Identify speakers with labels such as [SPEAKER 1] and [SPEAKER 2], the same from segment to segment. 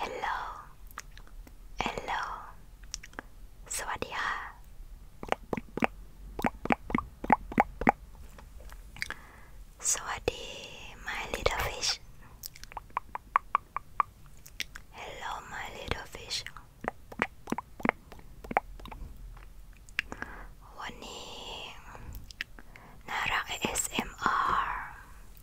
[SPEAKER 1] Hello Hello สวัสดีค่ะสวัสดี my little fish Hello my little fish วันนี้น่ารัก ASMR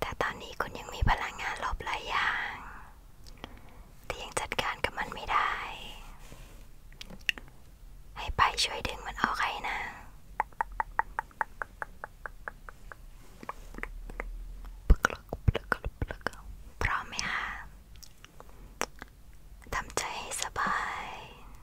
[SPEAKER 1] แต่ตอนนี้คุณยังมีพลังงานลบหลายอย่างที่ยังจัดการกับมันไม่ได้ ให้ไปช่วยดึงมันออกให้นะ พร้อมไหมคะทำใจให้สบาย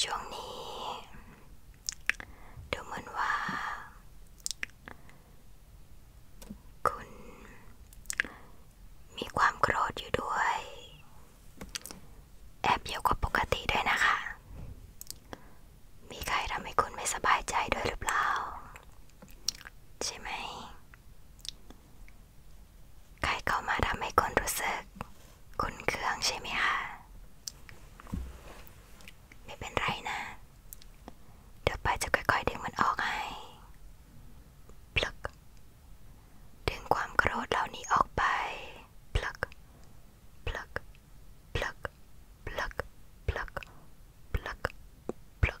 [SPEAKER 1] ช่วงนี้ ดูเหมือนว่า คุณมีความโกรธอยู่ด้วย แอบเยอะกว่าปกติด้วยนะคะ มีใครทำให้คุณไม่สบายใจด้วยหรือเปล่า ใช่ไหมใครเข้ามาทำให้คนรู้สึกคุ้นเครื่องใช่ไหมคะไม่เป็นไรนะ เดี๋ยวไปจะค่อยๆ ดึงมันออกให้พลักดึงความโกรธเหล่านี้ออกไปพลักพลักพลักพลักพลักพลักพลัก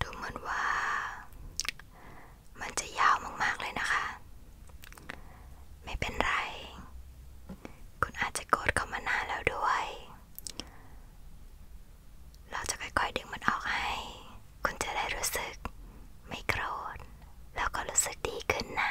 [SPEAKER 1] ดูเหมือนว่ามันจะยาวมากๆเลยนะคะ ไม่เป็นไร คุณอาจจะกดเข้ามานานแล้วด้วย เราจะค่อยๆดึงมันออกให้ คุณจะได้รู้สึกไม่โกรธแล้วก็รู้สึกดีขึ้นนะ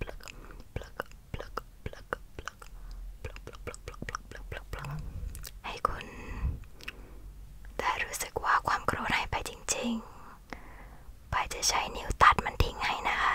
[SPEAKER 1] pluck pluck pluck pluck pluck pluck pluck pluck pluck pluck pluck pluck ให้คุณได้รู้สึกว่าความโกรธหายไปจริงๆ ไปจะใช้นิ้วตัดมันทิ้งให้นะคะ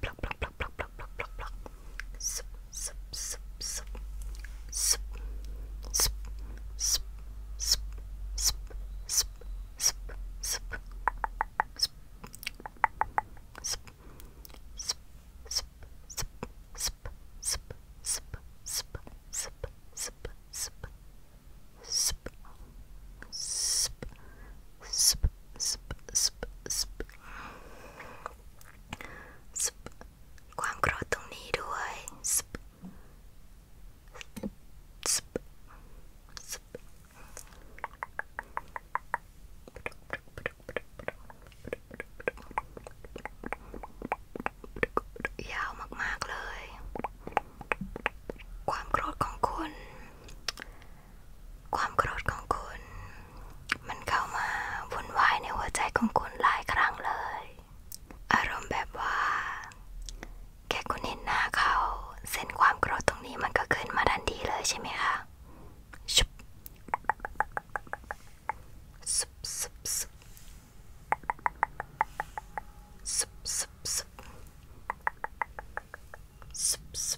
[SPEAKER 2] Pluck, pluck, pluck, pluck, pluck, pluck, pluck, pluck. Sup, sup, sup, sup. Sup, sup, sup, sup, sup, sup, sup, sup. Sup, sup, sup, sup, sup, sup, sup, sup, sup, sup, sup. Sp, sp, sp, sp sp sp ความโกรธตรงนี้ด้วย sp sp sp
[SPEAKER 1] ยาวมากๆเลย ความโกรธของคุณความโกรธของคุณ มันเข้ามาวนวายในหัวใจของคุณหลายครั้งเลย อารมณ์แบบว่าแค่คุณเห็นหน้าเขา เส้นความโกรธตรงนี้มันก็ขึนมาดันดีเลยใช่ไหมคะ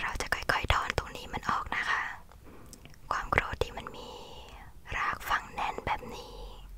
[SPEAKER 1] เราจะค่อยๆถอนตรงนี้มันออกนะคะ ความโกรธที่มันมีรากฝังแน่นแบบนี้เ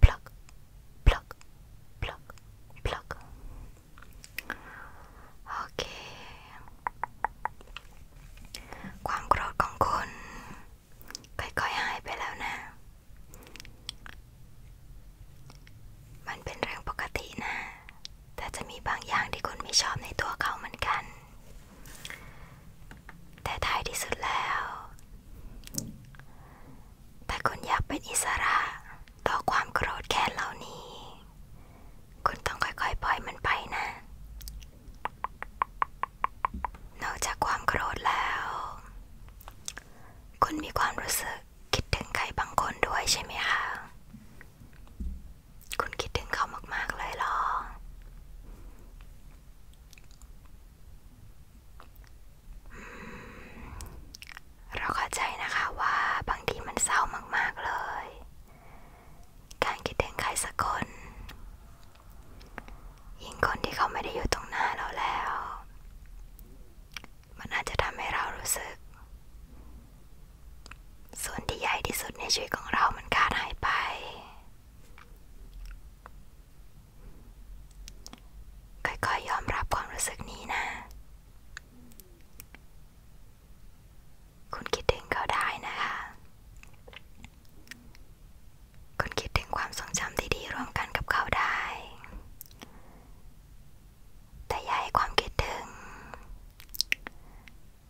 [SPEAKER 1] pluck, pluck, pluck, pluck. Okay. ความโกรธของคุณค่อยๆ หายไปแล้วนะ มันเป็นเรื่องปกตินะ แต่จะมีบางอย่างที่คุณไม่ชอบในตัวเขาเหมือนกันแต่ท้ายที่สุดแล้วถ้าคุณอยากเป็นอิสระต่อความโกรธแค้นเหล่านี้ คุณต้องค่อยๆ ปล่อยมันไปนะนอกจากความโกรธแล้ว คุณมีความรู้สึกคิดถึงใครบางคนด้วยใช่ไหมคะ คุณคิดถึงเขามากๆเลยหรอเราเข้าใจนะคะว่าบางทีมันเศร้ามากๆเลย การคิดถึงใครสักคน ยิ่งคนที่เขาไม่ได้อยู่ตรงหน้าเราแล้ว มันอาจจะทำให้เรารู้สึก ส่วนที่ใหญ่ที่สุดในชีวิตของเรามันขาดหายไปค่อยๆ ยอมรับความรู้สึกนี้นะ คุณคิดถึงเขาได้นะคะ คุณคิดถึงความทรงจำดี ๆ ร่วมกันกับเขาได้ แต่อย่าให้ความคิดถึง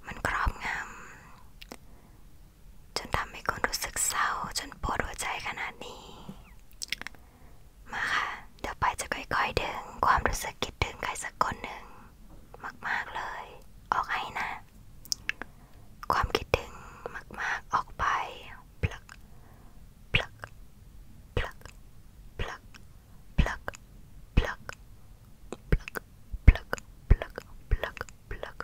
[SPEAKER 1] มันครอบงำจนทำให้คุณรู้สึกเศร้าจนปวดหัวใจขนาดนี้มาค่ะเดี๋ยวไปจะค่อยๆดึงความรู้สึกคิดถึงใครสักคนหนึ่งมากๆเลย ออกให้นะ ความคิดถึงมากๆออกไปพลักพลักพลักพลักพลักพลักพลักพลักพลักพลักพลัก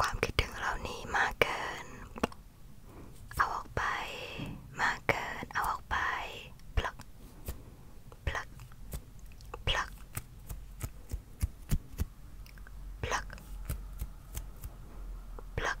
[SPEAKER 2] ความคิดถึงเรานี้มากเกิน เอาออกไป มากเกินเอาออกไป ปลักปลักปลักปลัก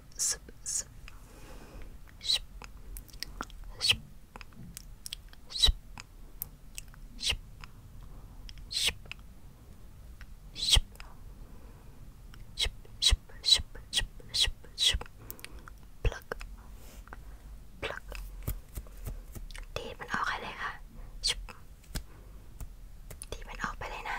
[SPEAKER 2] ดีมันออกไปเลยค
[SPEAKER 1] ่ะดีมันออกไปเลยนะ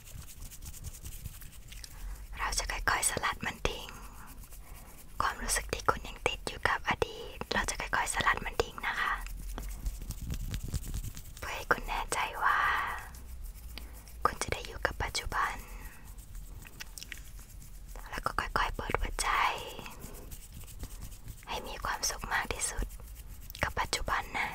[SPEAKER 1] เราจะค่อยๆสลัดมันทิ้ง ความรู้สึกที่คุณยังติดอยู่กับอดีต เราจะค่อย ๆสลัดมันทิ้ง นะคะ เพื่อให้คุณแน่ใจว่า คุณจะได้อยู่กับปัจจุบัน แล้ก็ค่อยๆ เปิดหัวใจ ให้มีความสุขมากที่สุด กับปัจจุบันนะ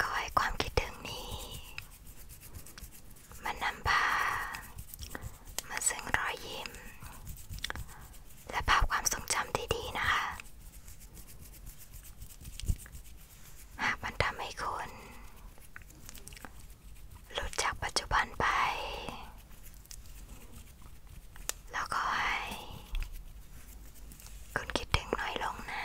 [SPEAKER 1] ก็ให้ความคิดถึงนี้ มันนำพามาซึ่งรอยยิ้มและภาพความทรงจำดีๆนะคะหากมันทำให้คุณ หลุดจากปัจจุบันไป แล้วก็ให้ คุณคิดถึงน้อยลงนะ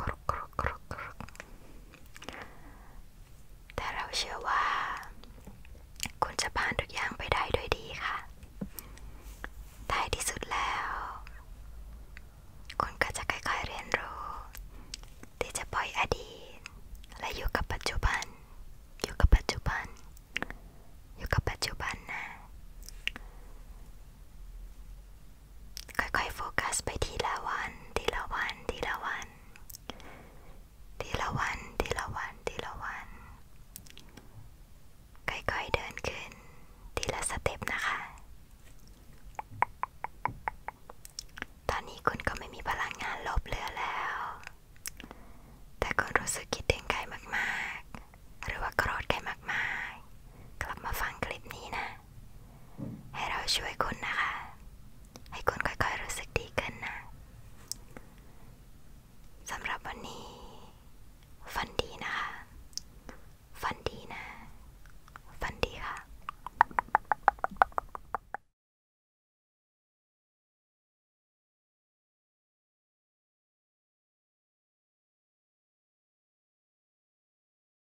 [SPEAKER 1] กรุกกรุกกรุกกรุกแต่เราเชื่อว่าคุณจะผ่านทุกอย่างไปได้ด้วยดีค่ะท้ายที่สุดแล้ว คุณก็จะค่อยๆเรียนรู้ที่จะปล่อยอดีตและอยู่กับปัจจุบัน อยู่กับปัจจุบัน อยู่กับปัจจุบันนะค่อยๆโฟกัสไปทีละวัน ทีละวัน ทีละวัน ทีละวัน ทีละวัน ทีละวัน ค่อยๆเดินขึ้น ทีละสเตปนะคะ ตอนนี้คุณก็ไม่มีพลังงานลบเหือแล้ว แต่คุณรู้สึกคิดถึงใครมากๆ หรือว่าโกรธใครมากๆ กลับมาฟังคลิปนี้นะให้เราช่วยคุณนะคะ ให้คุณค่อยๆรู้สึกดีขึ้นนะสำหรับวันนี้ฝันดีนะคะฝันดีนะฝันดีค่ะ